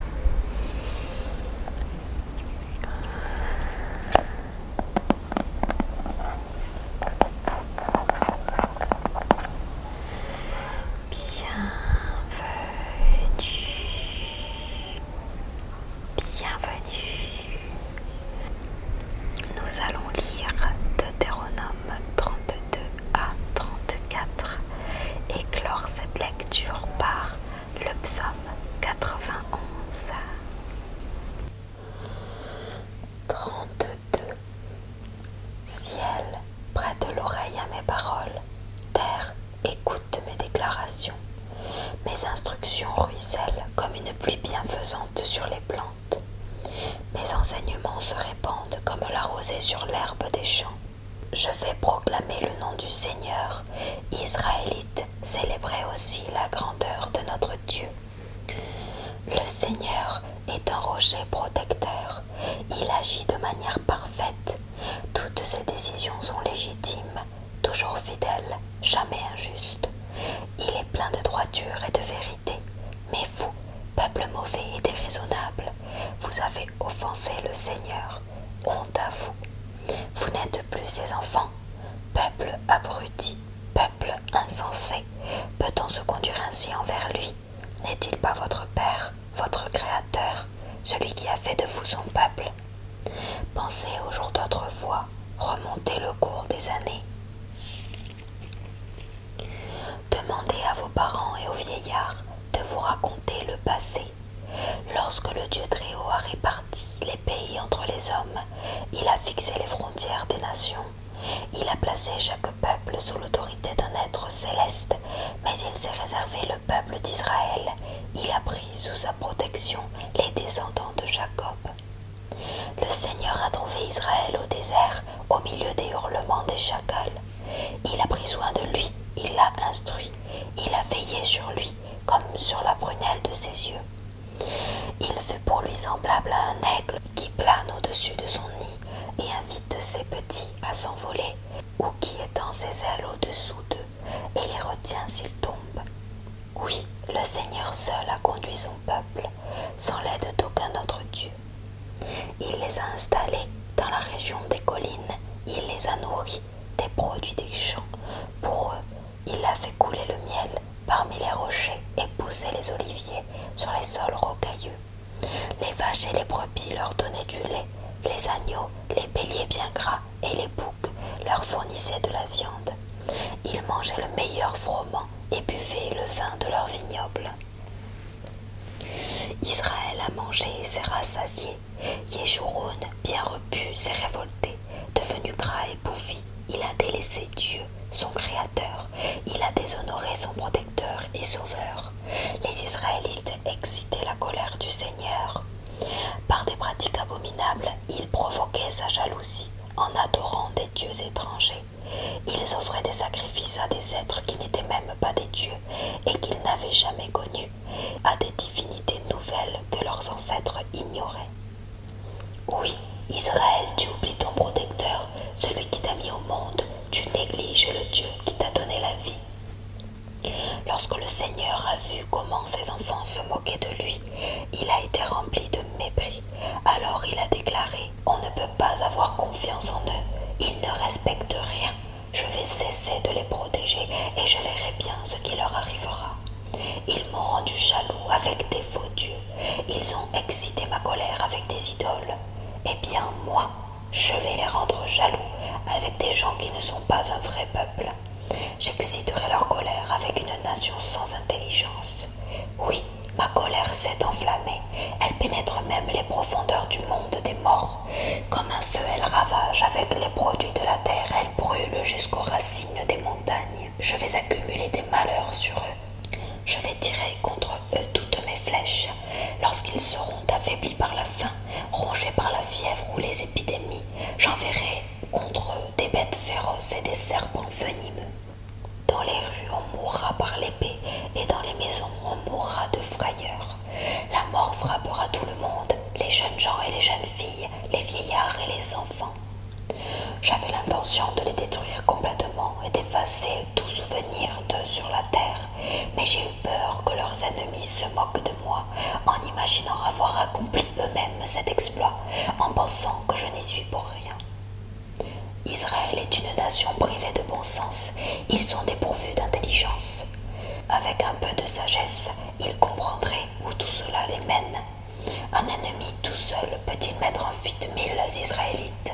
Bienvenue, bienvenue. Nous allons lire Deutéronome 32 à 34 et clore cette lecture par le psaume 91. 32. Ciel, prête l'oreille à mes paroles. Terre, écoute mes déclarations. Mes instructions ruissellent comme une pluie bienfaisante sur les plantes. Mes enseignements se répandent comme la rosée sur l'herbe des champs. Je vais proclamer le nom du Seigneur, Israélite, célébrez aussi la grandeur de notre Dieu. Le Seigneur est un rocher protecteur, il agit de manière parfaite, toutes ses décisions sont légitimes, toujours fidèles, jamais injustes. Il est plein de droiture et de vérité, mais vous, peuple mauvais et déraisonnable, vous avez offensé le Seigneur. Honte à vous. Vous n'êtes plus ses enfants. Peuple abruti, peuple insensé. Peut-on se conduire ainsi envers lui N'est-il pas votre Père, votre Créateur, celui qui a fait de vous son peuple Pensez aux jours d'autrefois, remontez le cours des années. Demandez à vos parents et aux vieillards de vous raconter le passé. Lorsque le Dieu Très-Haut a réparti les pays entre les hommes, il a fixé les frontières des nations. Il a placé chaque peuple sous l'autorité d'un être céleste, mais il s'est réservé le peuple d'Israël. Il a pris sous sa protection les descendants de Jacob. Le Seigneur a trouvé Israël au désert, au milieu des hurlements des chacals. Il a pris soin de lui, il l'a instruit, il a veillé sur lui comme sur la prunelle de ses yeux. Il fut pour lui semblable à un aigle qui plane au-dessus de son nid et invite ses petits à s'envoler, ou qui étend ses ailes au-dessous d'eux et les retient s'ils tombent. Oui, le Seigneur seul a conduit son peuple, sans l'aide d'aucun autre Dieu. Il les a installés dans la région des collines. Il les a nourris des produits des champs. Pour eux, il a fait couler le miel parmi les rochers et poussé les oliviers sur les sols rocailleux. Les vaches et les brebis leur donnaient du lait. Les agneaux, les béliers bien gras et les boucs leur fournissaient de la viande. Ils mangeaient le meilleur froment et buvaient le vin de leur vignoble. Israël a mangé et s'est rassasié bien repu, s'est révolté. Devenu gras et bouffi, il a délaissé Dieu, son Créateur. Il a déshonoré son protecteur et sauveur. Les Israélites excitaient la colère du Seigneur. Par des pratiques abominables, ils provoquaient sa jalousie en adorant des dieux étrangers. Ils offraient des sacrifices à des êtres qui n'étaient même pas des dieux et qu'ils n'avaient jamais connus à des divinités nouvelles que leurs ancêtres ignoraient. Oui, Israël, tu oublies ton protecteur, celui qui t'a mis au monde, tu négliges le Dieu qui t'a donné la vie. Lorsque le Seigneur a vu comment ses enfants se moquaient de lui, il a été rempli de mépris. Alors il a déclaré, on ne peut pas avoir confiance en eux, ils ne respectent rien. Je vais cesser de les protéger et je verrai bien ce qui leur arrivera. Ils m'ont rendu jaloux avec des faux dieux. Ils ont excité ma colère avec des idoles. Eh bien, moi, je vais les rendre jaloux avec des gens qui ne sont pas un vrai peuple. J'exciterai leur colère avec une nation sans intelligence. Oui, ma colère s'est enflammée. Elle pénètre même les profondeurs du monde des morts. Comme un feu, elle ravage, avec les produits de la terre, elle brûle jusqu'aux racines des montagnes. Je vais accumuler des malheurs sur eux. Je vais tirer contre eux toutes mes flèches. Lorsqu'ils seront affaiblis par la faim, rongés par la fièvre ou les épidémies, j'enverrai contre eux des bêtes féroces et des serpents venimeux. Dans les rues, on mourra par l'épée, et dans les maisons, on mourra de frayeur. La mort frappera tout le monde, les jeunes gens et les jeunes filles, les vieillards et les enfants. J'avais l'intention de les détruire complètement et d'effacer tout souvenir d'eux sur la terre, mais j'ai eu peur que leurs ennemis se moquent de moi en imaginant avoir accompli eux-mêmes cet exploit, en pensant que je n'y suis pour rien. Israël est une nation privée de bon sens, ils sont dépourvus d'intelligence. Avec un peu de sagesse, ils comprendraient où tout cela les mène. Un ennemi tout seul peut-il mettre en fuite mille Israélites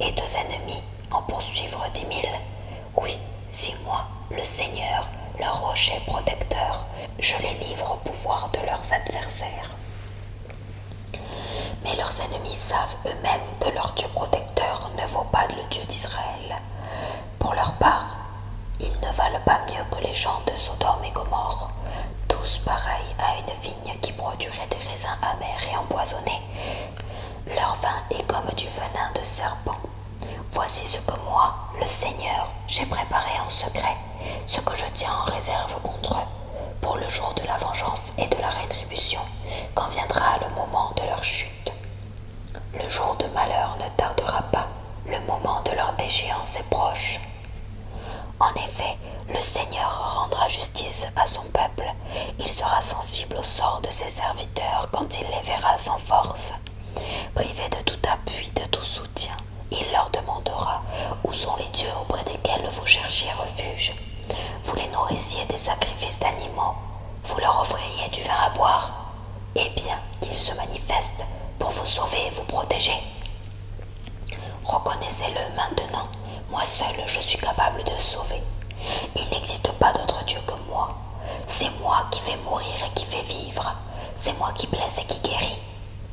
et deux ennemis en poursuivre dix mille Oui, si moi, le Seigneur, leur rocher protecteur, je les livre au pouvoir de leurs adversaires. Mais leurs ennemis savent eux-mêmes que leur Dieu protecteur ne vaut pas le Dieu d'Israël. Pour leur part, ils ne valent pas mieux que les gens de Sodome et Gomorre, tous pareils à une vigne qui produirait des raisins amers et empoisonnés. Leur vin est comme du venin de serpent. Voici ce que moi, le Seigneur, j'ai préparé en secret, ce que je tiens en réserve contre eux, pour le jour de la vengeance et de la rétribution, quand viendra le moment de leur chute. Le jour de malheur ne tardera pas, le moment de leur déchéance est proche. En effet, le Seigneur rendra justice à son peuple, il sera sensible au sort de ses serviteurs quand il les verra sans force. Privés de tout appui, de tout soutien, il leur demandera Où sont les dieux auprès desquels vous cherchiez refuge Vous les nourrissiez des sacrifices d'animaux, vous leur offririez du vin à boire, Eh bien qu'il se manifeste pour vous sauver et vous protéger. Reconnaissez-le maintenant, moi seul je suis capable de sauver. Il n'existe pas d'autre Dieu que moi. C'est moi qui fais mourir et qui fais vivre. C'est moi qui blesse et qui guérit.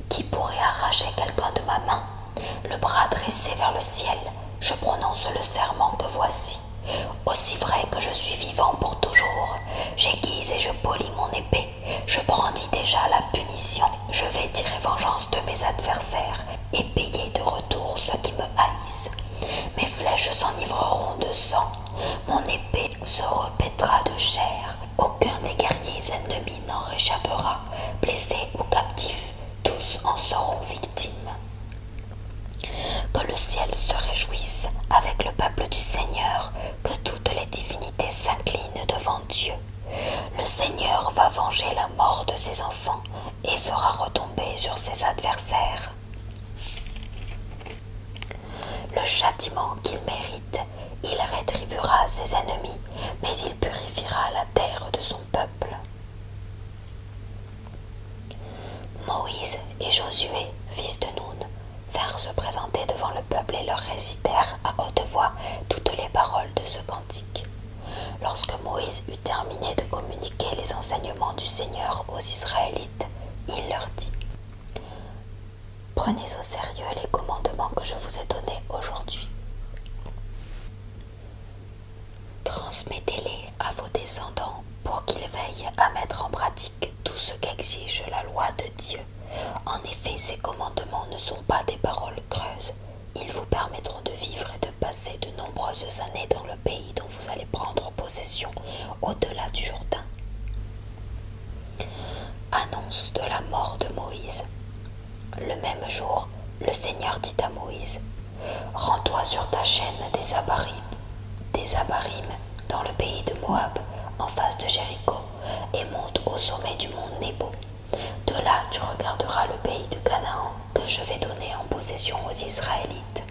Qui pourrait arracher quelqu'un de ma main Le bras dressé vers le ciel, je prononce le serment que voici. Aussi vrai que je suis vivant pour toujours, j'aiguise et je polis mon épée, je brandis déjà la punition, je vais tirer vengeance de mes adversaires et payer de retour ceux qui me haïssent. Mes flèches s'enivreront de sang, mon épée se repaîtra de chair, aucun des guerriers ennemis n'en réchappera, blessés ou captif, tous en seront victimes. Que le ciel se réjouisse avec le peuple du Seigneur, que toutes les divinités s'inclinent devant Dieu. Le Seigneur va venger la mort de ses enfants et fera retomber sur ses adversaires le châtiment qu'il mérite. Il rétribuera ses ennemis, mais il purifiera la terre de son peuple. Moïse et Josué, fils de Noun, vinrent se présenter devant le peuple et leur récitèrent à haute voix toutes les paroles de ce cantique. Lorsque Moïse eut terminé de communiquer les enseignements du Seigneur aux Israélites, il leur dit Prenez au sérieux les commandements que je vous ai donnés aujourd'hui. Transmettez-les à vos descendants pour qu'ils veillent à mettre en pratique tout ce qu'exige la loi de Dieu. En effet, ces commandements ne sont pas des paroles creuses. Ils vous permettront de vivre et de passer de nombreuses années dans le pays dont vous allez prendre possession au-delà du Jourdain. Annonce de la mort de Moïse. Le même jour, le Seigneur dit à Moïse, Rends-toi sur ta chaîne des Abarim, des Abarim, dans le pays de Moab, en face de Jéricho, et monte au sommet du mont Nebo. De là, tu regarderas le pays de Canaan que je vais donner en possession aux Israélites.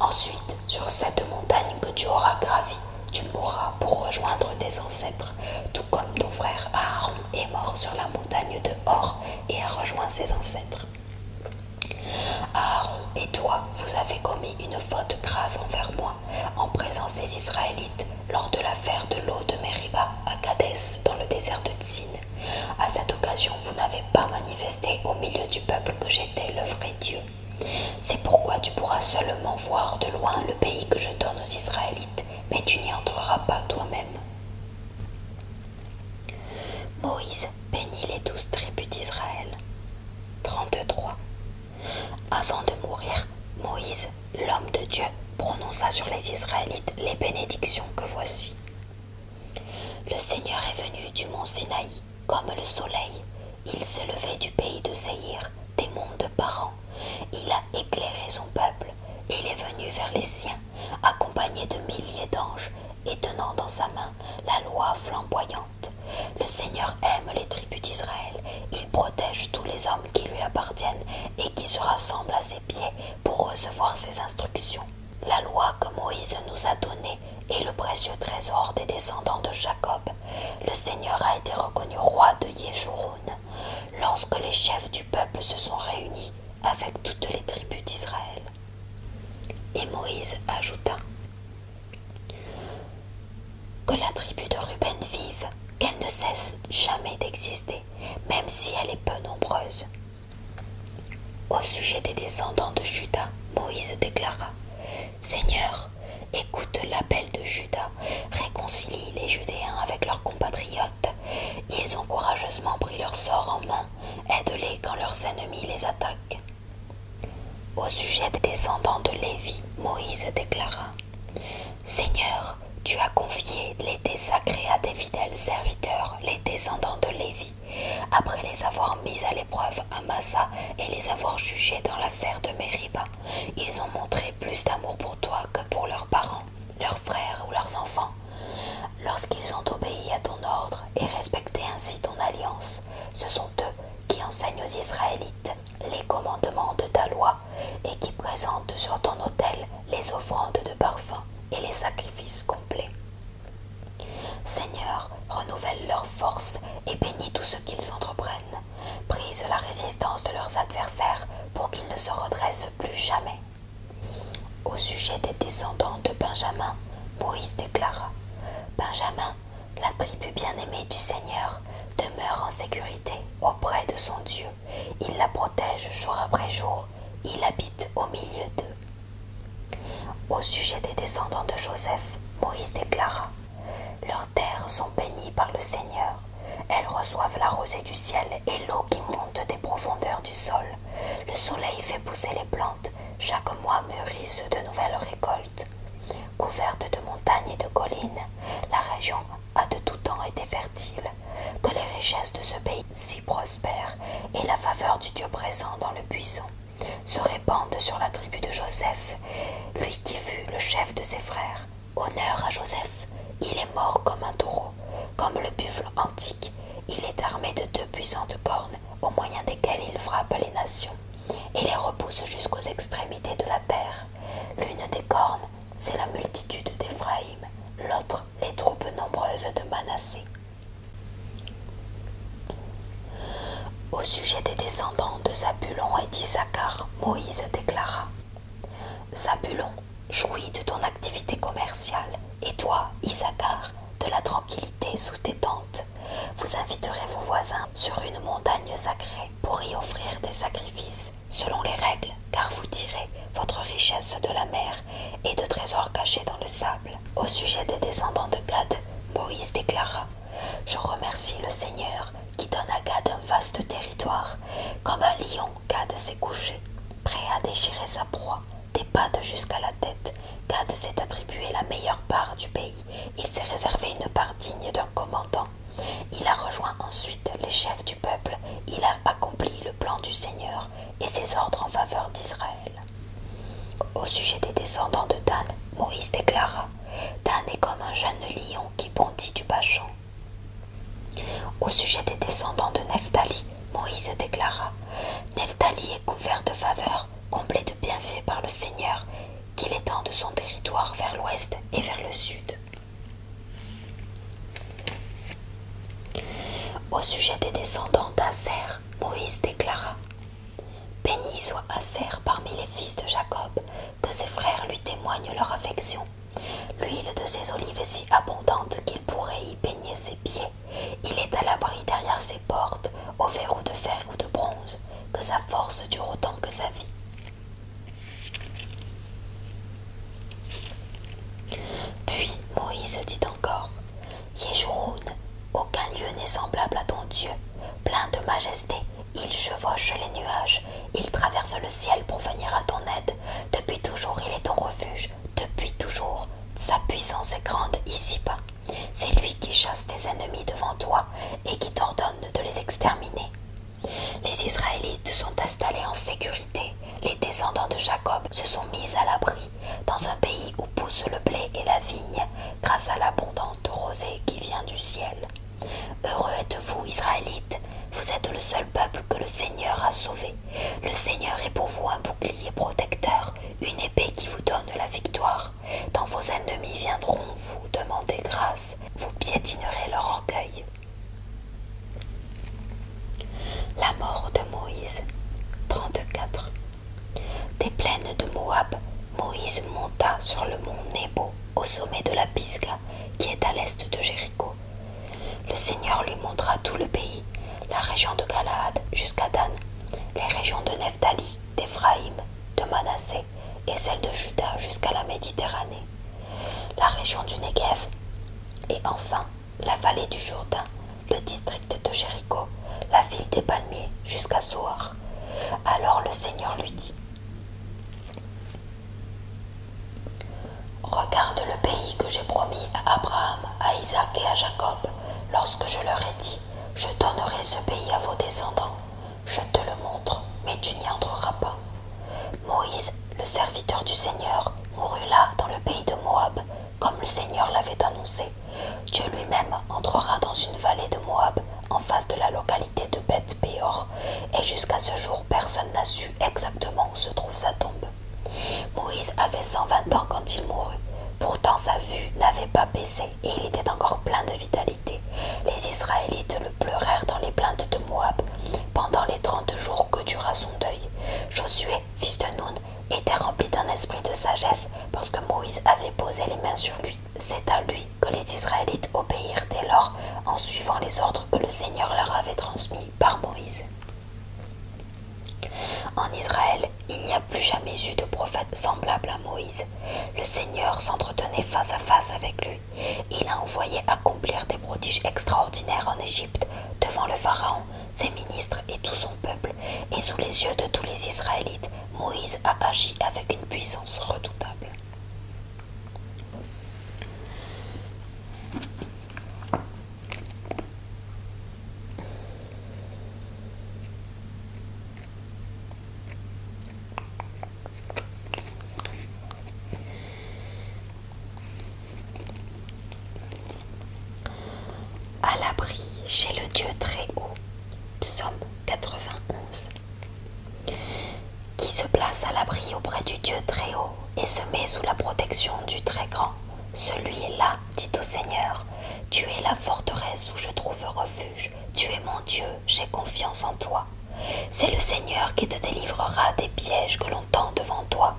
Ensuite, sur cette montagne que tu auras gravi, tu mourras pour rejoindre tes ancêtres, tout comme ton frère Aaron est mort sur la montagne de Hor et a rejoint ses ancêtres. Aaron et toi, vous avez commis une faute grave envers moi en présence des Israélites lors de l'affaire de l'eau de Meriba à Kadès dans le désert de Tsin. À cette occasion, vous n'avez pas manifesté au milieu du peuple que j'étais le vrai Dieu. C'est pourquoi tu pourras seulement voir de loin le pays que je donne aux Israélites, mais tu n'y entreras pas toi-même. Moïse bénit les douze tribus d'Israël. 33 Avant de mourir, Moïse, l'homme de Dieu, prononça sur les Israélites les bénédictions que voici. Le Seigneur est venu du mont Sinaï, comme le soleil. Il s'est levé du pays de Seir, des monts de Paran. Il a éclairé son peuple. Il est venu vers les siens, accompagné de milliers d'anges et tenant dans sa main la loi flamboyante. Le Seigneur aime les tribus d'Israël, il protège tous les hommes qui lui appartiennent et qui se rassemblent à ses pieds pour recevoir ses instructions. La loi que Moïse nous a donnée est le précieux trésor des descendants de Jacob. Le Seigneur a été reconnu roi de Yeshurun lorsque les chefs du peuple se sont réunis avec toutes les tribus d'Israël. Et Moïse ajouta Que la tribu de Ruben vive, qu'elle ne cesse jamais d'exister, même si elle est peu nombreuse. Au sujet des descendants de Judas, Moïse déclara Seigneur, écoute l'appel de Judas, réconcilie les Judéens avec leurs compatriotes. Ils ont courageusement pris leur sort en main aide-les quand leurs ennemis les attaquent. Au sujet des descendants de Lévi, Moïse déclara Seigneur, tu as confié l'été sacré à tes fidèles serviteurs, les descendants de Lévi, après les avoir mis à l'épreuve à Massa et les avoir jugés dans l'affaire de Meriba. Ils ont montré plus d'amour pour toi que pour leurs parents, leurs frères ou leurs enfants. Lorsqu'ils ont obéi à ton ordre et respecté ainsi ton alliance, ce sont eux qui enseignent aux Israélites les commandements de ta loi et qui présentent sur ton autel les offrandes de parfum et les sacrifices complets. Seigneur, renouvelle leur forces et bénis tout ce qu'ils entreprennent. Brise la résistance de leurs adversaires pour qu'ils ne se redressent plus jamais. Au sujet des descendants de Benjamin, Moïse déclara Benjamin, la tribu bien-aimée du Seigneur, demeure en sécurité auprès de son Dieu. Il la protège jour après jour. Il habite au milieu d'eux. Au sujet des descendants de Joseph, Moïse déclara Leurs terres sont bénies par le Seigneur. Elles reçoivent la rosée du ciel et l'eau qui montent des profondeurs du sol. Le soleil fait pousser les plantes. Chaque mois mûrissent de nouvelles récoltes. Couverte de montagnes et de collines, la région a de tout temps été fertile. Que les richesses de ce pays si prospère et la faveur du Dieu présent dans le buisson se répandent sur la tribu de Joseph, lui qui fut le chef de ses frères. Honneur à Joseph, il est mort comme un taureau, comme le buffle antique il est armé de deux puissantes cornes au moyen desquelles il frappe les nations et les repousse jusqu'aux extrémités de la terre. L'une des cornes, c'est la multitude d'Éphraïm, l'autre, les troupes nombreuses de Manassé. Au sujet des descendants de Zabulon et d'Issacar, Moïse déclara Zabulon jouis de ton activité commerciale et toi, Issachar, de la tranquillité sous tes tentes. Vous inviterez vos voisins sur une montagne sacrée pour y offrir des sacrifices selon les règles, car vous tirez votre richesse de la mer et de trésors cachés dans le sable. Au sujet des descendants de Gad, Moïse déclara Je remercie le Seigneur qui donne à Gad un vaste territoire. Comme un lion, Gad s'est couché, prêt à déchirer sa proie des pattes jusqu'à la tête. Gad s'est attribué la meilleure part du pays. Il s'est réservé une part digne d'un commandant. Il a rejoint ensuite les chefs du peuple. Il a accompli le plan du Seigneur et ses ordres en faveur d'Israël. Au sujet des descendants de Dan, Moïse déclara Dan est comme un jeune lion qui bondit du bas Au sujet des descendants de Nephtali, Moïse déclara Nephtali est couvert de faveurs comblé de bienfaits par le Seigneur, qu'il étend de son territoire vers l'ouest et vers le sud. Au sujet des descendants d'Aser, Moïse déclara Béni soit Aser parmi les fils de Jacob, que ses frères lui témoignent leur affection. L'huile de ses olives est si abondante qu'il pourrait y peigner ses pieds. Il est à l'abri derrière ses portes, au verrou de fer ou de bronze, que sa force dure autant que sa vie. Puis Moïse dit encore Yeshurun, aucun lieu n'est semblable à ton Dieu. Plein de majesté, il chevauche les nuages, il traverse le ciel pour venir à ton aide. Depuis toujours, il est ton refuge, depuis toujours, sa puissance est grande ici-bas. C'est lui qui chasse tes ennemis devant toi et qui t'ordonne de les exterminer. Les Israélites sont installés en sécurité. Les descendants de Jacob se sont mis à l'abri dans un pays où poussent le blé et la vigne grâce à l'abondante rosée qui vient du ciel. Heureux êtes-vous, Israélites, vous êtes le seul peuple que le Seigneur a sauvé le Seigneur est pour vous un bouclier protecteur, une épée qui vous donne la victoire. Dans vos ennemis viendront vous demander grâce, vous piétinerez leur orgueil. La mort de Moïse. 34. Des plaines de Moab, Moïse monta sur le mont Nebo, au sommet de la Pisga, qui est à l'est de Jérusalem. Le Seigneur lui montra tout le pays, la région de Galaad jusqu'à Dan, les régions de Nephtali, d'Éphraïm, de Manassé et celle de Juda jusqu'à la Méditerranée, la région du Négev, et enfin la vallée du Jourdain, le district de Jéricho, la ville des palmiers jusqu'à Soar. Alors le Seigneur lui dit Regarde le pays que j'ai promis à Abraham, à Isaac et à Jacob, lorsque je leur ai dit, je donnerai ce pays à vos descendants. Je te le montre, mais tu n'y entreras pas. Moïse, le serviteur du Seigneur, mourut là, dans le pays de Moab, comme le Seigneur l'avait annoncé. Dieu lui-même entrera dans une vallée de Moab, en face de la localité de beth Béor, et jusqu'à ce jour, personne n'a su exactement où se trouve sa tombe. Moïse avait 120 ans quand il mourut. Pourtant sa vue n'avait pas baissé et il était encore plein de vitalité. Les Israélites le pleurèrent dans les plaintes de Moab pendant les trente jours que dura son deuil. Josué, fils de Nun, était rempli d'un esprit de sagesse parce que Moïse avait posé les mains sur lui. C'est à lui que les Israélites obéirent dès lors en suivant les ordres que le Seigneur leur avait transmis par Moïse. En Israël, il n'y a plus jamais eu de prophète semblable à Moïse. Le Seigneur s'entretenait face à face avec lui. Il a envoyé accomplir des prodiges extraordinaires en Égypte, devant le Pharaon, ses ministres et tout son peuple, et sous les yeux de tous les Israélites, Moïse a agi avec une puissance redoutable. À l'abri chez le Dieu très haut, psaume 91. Qui se place à l'abri auprès du Dieu très haut et se met sous la protection du très grand. Celui-là, dit au Seigneur, tu es la forteresse où je trouve refuge, tu es mon Dieu, j'ai confiance en toi. C'est le Seigneur qui te délivrera des pièges que l'on tend devant toi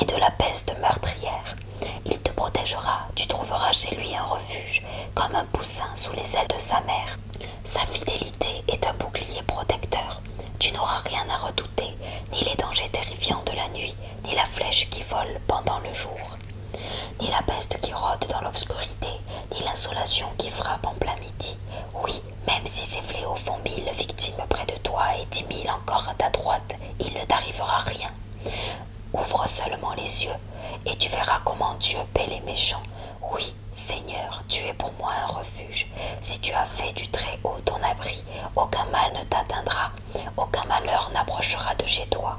et de la peste meurtrière. Il te protégera, tu trouveras chez lui un refuge, comme un poussin sous les ailes de sa mère. Sa fidélité est un bouclier protecteur. Tu n'auras rien à redouter, ni les dangers terrifiants de la nuit, ni la flèche qui vole pendant le jour, ni la peste qui rôde dans l'obscurité, ni l'insolation qui frappe en plein midi. Oui, même si ces fléaux font mille victimes près de toi et dix mille encore à ta droite, il ne t'arrivera rien. Ouvre seulement les yeux, et tu verras comment Dieu paie les méchants. Oui, Seigneur, tu es pour moi un refuge. Si tu as fait du Très-Haut ton abri, aucun mal ne t'atteindra, aucun malheur n'approchera de chez toi,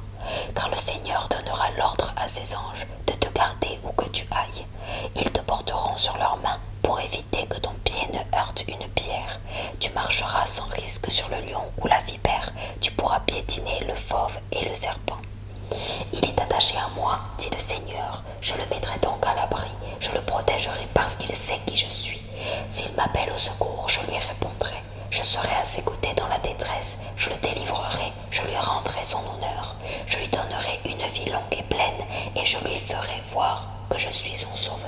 car le Seigneur donnera l'ordre à ses anges de te garder où que tu ailles. Ils te porteront sur leurs mains pour éviter que ton pied ne heurte une pierre. Tu marcheras sans risque sur le lion ou la vipère, tu pourras piétiner le fauve et le serpent. Il est attaché à moi, dit le Seigneur, je le mettrai donc à l'abri, je le protégerai parce qu'il sait qui je suis. S'il m'appelle au secours, je lui répondrai. Je serai à ses côtés dans la détresse. Je le délivrerai. Je lui rendrai son honneur. Je lui donnerai une vie longue et pleine, et je lui ferai voir que je suis son sauveur.